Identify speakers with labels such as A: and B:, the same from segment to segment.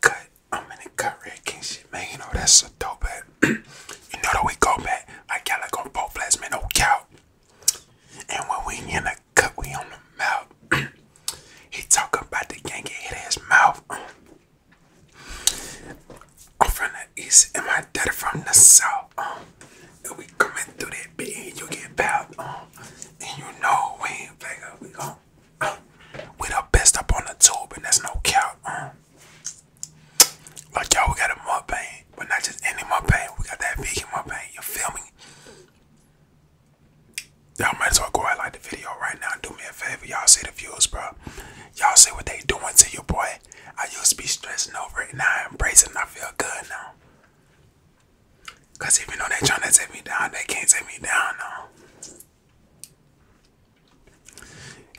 A: cut. I'm in the cut red king shit, man. You know that's so dope, man. you know that we go back. I got like on both flats, man. No cow. And when we in the cut, we on the mouth. he talk about the gang get hit his mouth. I'm from the east and my daddy from the south. Um, and we coming through that bit and you get bowed. Um, and you know we ain't fake We gon' We the best up on the tube, and there's no cap. Um. like y'all, we got a mukbang, but not just any mukbang. We got that vegan mukbang. You feel me? Y'all might as well go out like the video right now. and Do me a favor, y'all see the views, bro. Y'all see what they doing to you, boy. I used to be stressing over it, now I am it, I feel good now. Cause even though they trying to take me down, they can't take me down now.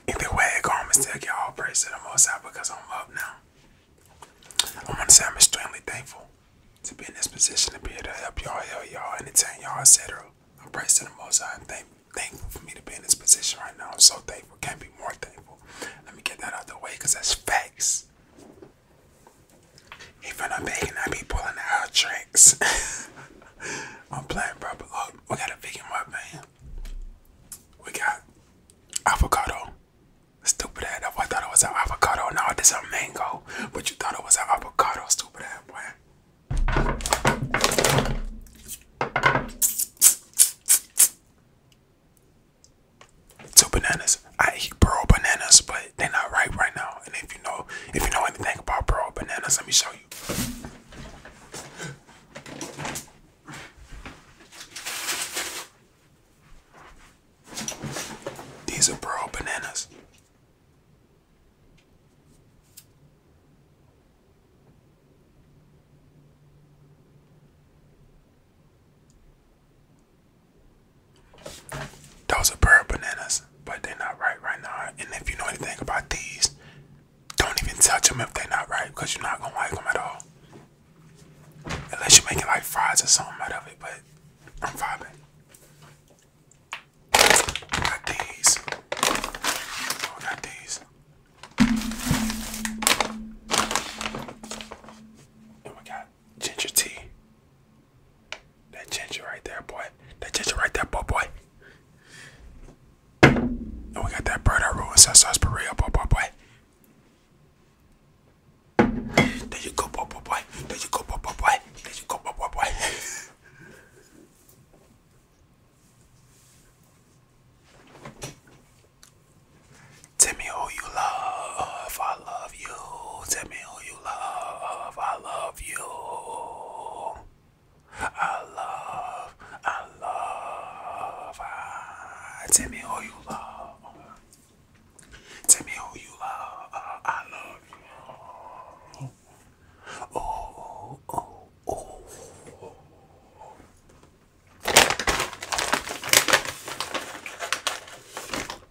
A: Either way, it go on y'all praise to the most high because I'm up now. I to say I'm extremely thankful to be in this position to be able to help y'all, help y'all, entertain y'all, etc. I'm praise to the most high. I'm thankful for me to be in this position right now. I'm so thankful. Can't be more thankful. Let me get that out the way because that's facts. Even I'm I be pulling out tricks. I'm playing, bro. look, we got a vegan man. We got avocado. Stupid that I thought it was an avocado. No, this a mango. But you thought it was an avocado. Stupid that, boy. Two bananas. I eat pearl bananas, but they're not right right now. And if you know, if you know anything about pro bananas, let me show you. These are pro bananas. Those are bird bananas, but they're not right right now. And if you know anything about these, don't even touch them if they're not right, because you're not gonna like them at all. Unless you're making like fries or something out of it, but I'm vibing. Got these. Oh, got these. And we got ginger tea. That ginger right there, boy. That ginger right there, boy, boy. And oh, we got that bird I ruins that sarsaparilla, oh, boy, boy, boy. There you go, boy, boy, boy. There you go, boy, boy, boy. There you go, boy, boy, boy. Tell me who you love. I love you. Tell me who love. I love you. I love, I love. Ah, tell me who you love. Tell me who you love. I love you. Oh, oh, oh.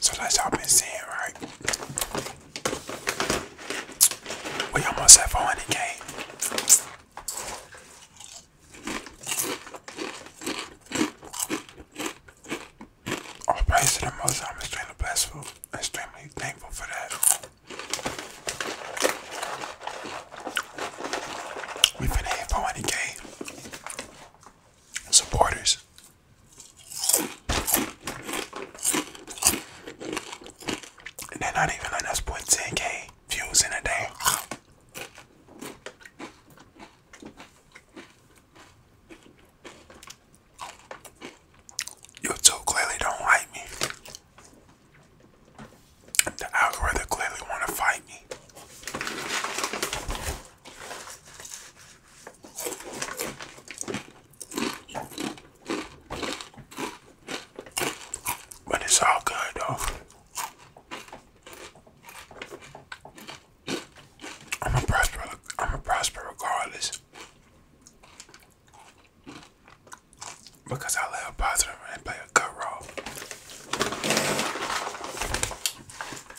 A: So that's y'all been seeing, right? We almost have 400k. All praise to the Most I'm extremely blessed extremely thankful for that. We've been hit 400k supporters. And they're not even letting us put 10k views in a day. YouTube clearly don't like me. The algorithm clearly want to fight me. But it's all good though. I'm a prosper I'm a prosper regardless. Because I live positive and play a good role.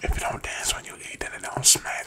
A: If you don't dance when you eat, then it don't smack.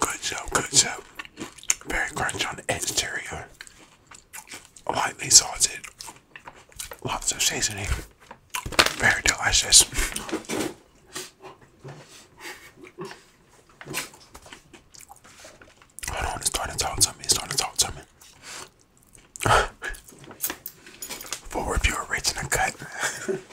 A: Good job, good job. Very crunchy on the exterior. Lightly salted. Lots of seasoning. Very delicious. Hold on, it's starting to talk to me, it's starting to talk to me. Full review original cut.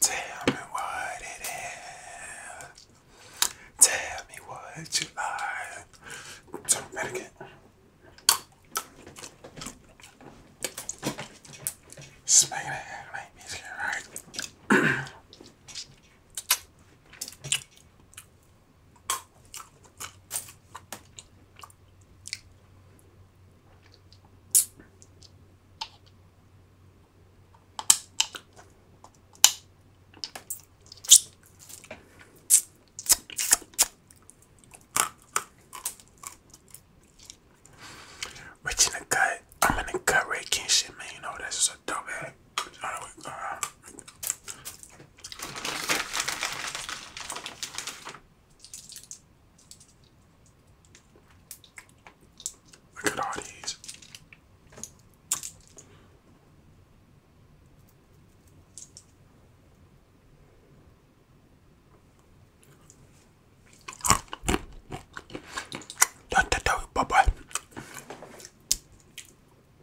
A: Tell me what it is. Tell me what you are. Tell me again. Smack it like music, right? Rich in the gut. I'm in the cut, raking shit, man. You know, that's just a dope ass. Look at all these. Bye bye.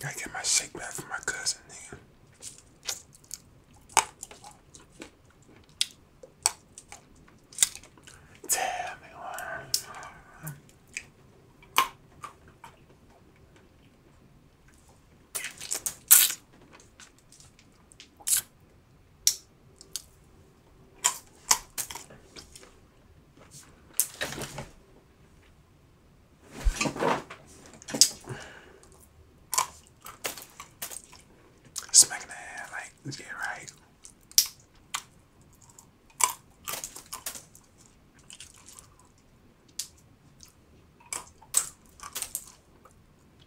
A: Gotta get my shake back from my cousin, nigga. Tell me why. Smacking the hand, like, yeah, right.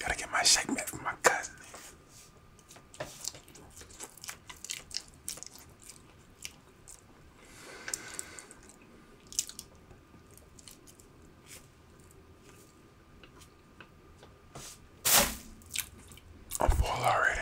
A: Gotta get my shake back from my cousin. I'm full already.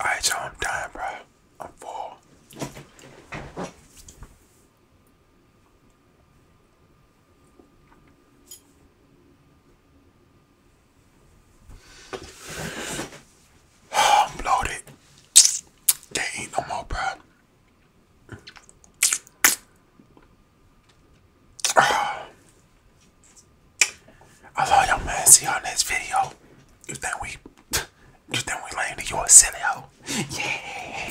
A: Alright, so I'm done, bro. I'm full. I'm bloated. There ain't no more, bro. I love y'all, man. See y'all next video. You think we, you think we landed to you a silly hoe? Yeah.